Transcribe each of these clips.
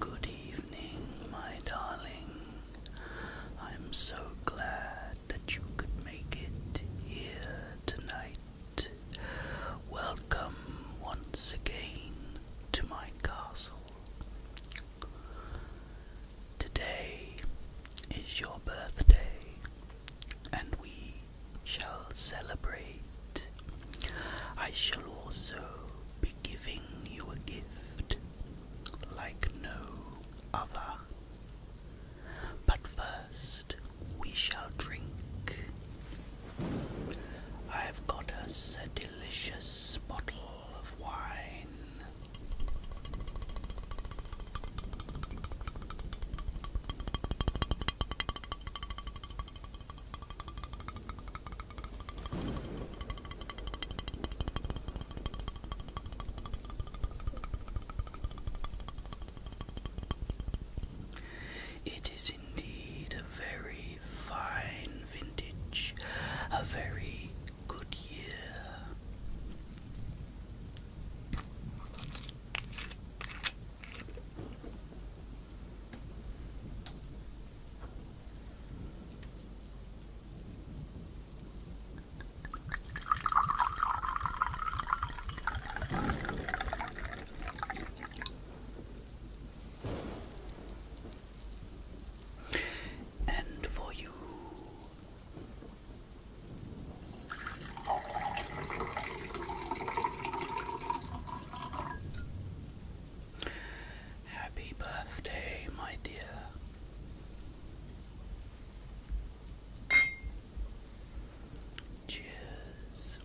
Good evening, my darling. I'm so glad that you could make it here tonight. Welcome once again to my castle. Today is your birthday, and we shall celebrate. I shall also be giving you a gift like no other. But first, we shall drink I've got us a delicious bottle of wine. It is indeed a very fine vintage, a very good year. And for you. Happy birthday, my dear. Cheers.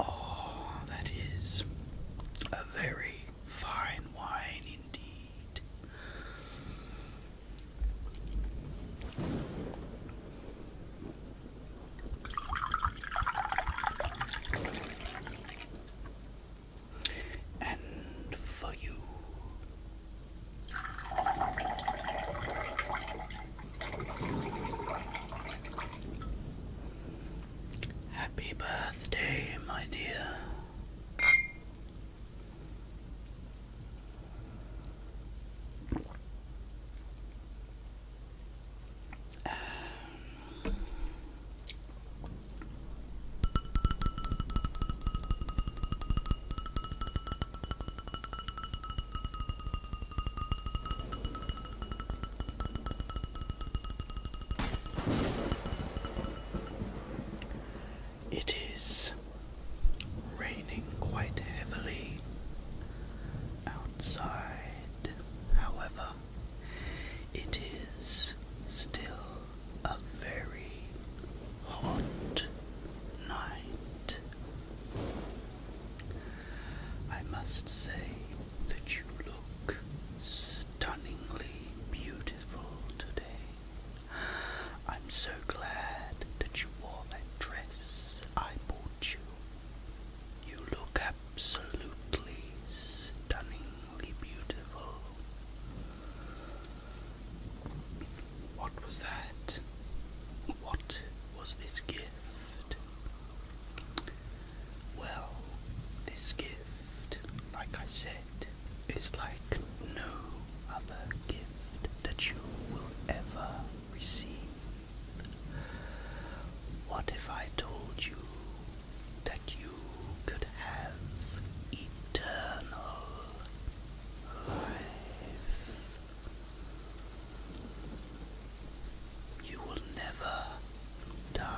Oh, that is a very fine wine indeed. And for you. Happy birthday, my dear it is raining quite heavily outside however, it is still a very hot night. I must say that you look stunningly beautiful today. I'm so glad that you wore that dress I bought you. You look absolutely stunningly beautiful. What was that? What was this gift? Well, this gift, like I said, is like no other gift that you will ever receive. What if I told you that you could have eternal life? You will never die.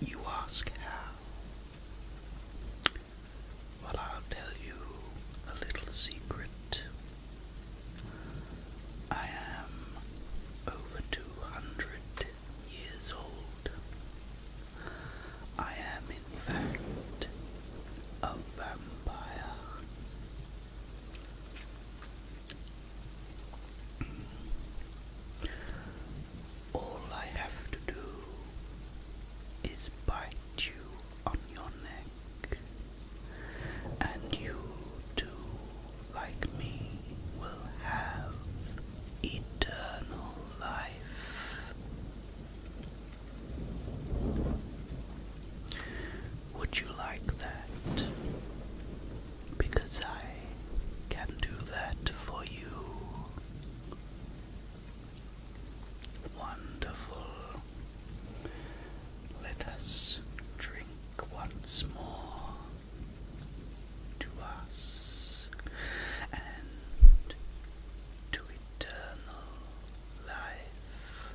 You ask how? Well, I'll tell you a little secret. I am over 200 years old. I am, in fact, a vampire. All I have to do is bite you on your neck, and you too, like me, will have eternal life. Would you like that? Because I can do that for you. Wonderful. Let us drink once more to us and to eternal life.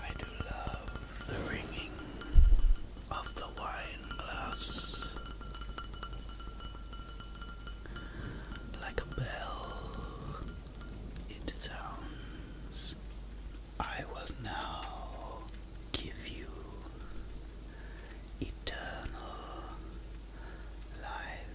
I do love the ringing of the wine like a bell. It sounds. I will now give you eternal life.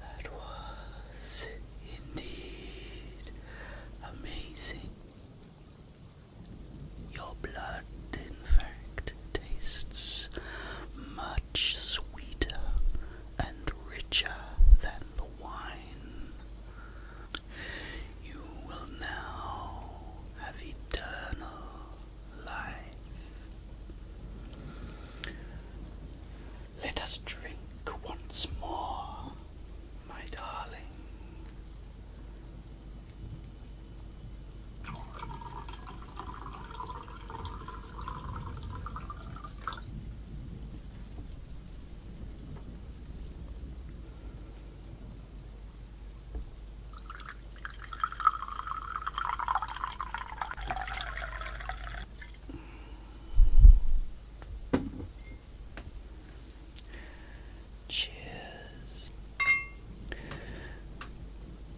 That was indeed amazing. Your blood, in fact, tastes much sweeter and richer than the wine. You will now have eternal life. Let us drink once more, my darling. Cheers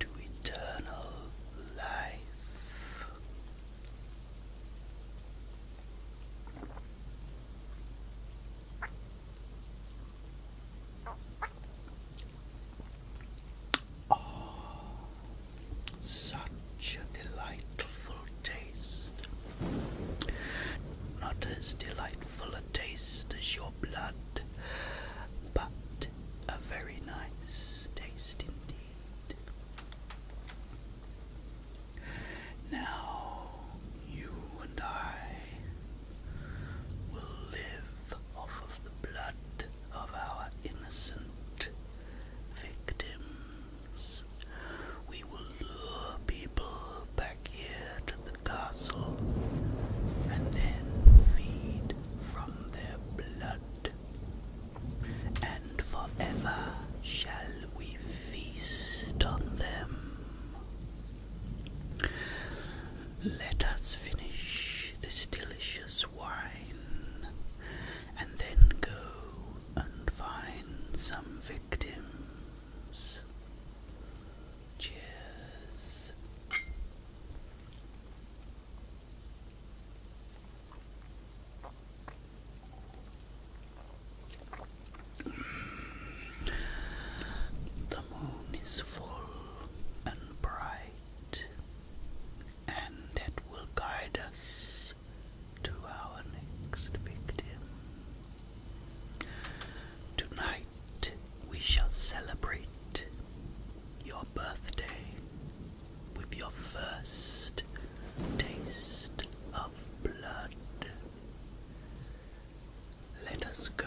to eternal life. Oh, such a delightful taste. Not as delightful a taste as your blood, but a very nice taste indeed. Now you and I will live off of the blood of our innocent victims. We will lure people back here to the castle and then feed from their blood. And forever shall we feast on them. Let us finish this delicious wine and then go and find some victims. Cheers. The moon is full and bright, and it will guide us to our next victim. Tonight we shall celebrate your birthday with your first taste of blood. Let us go.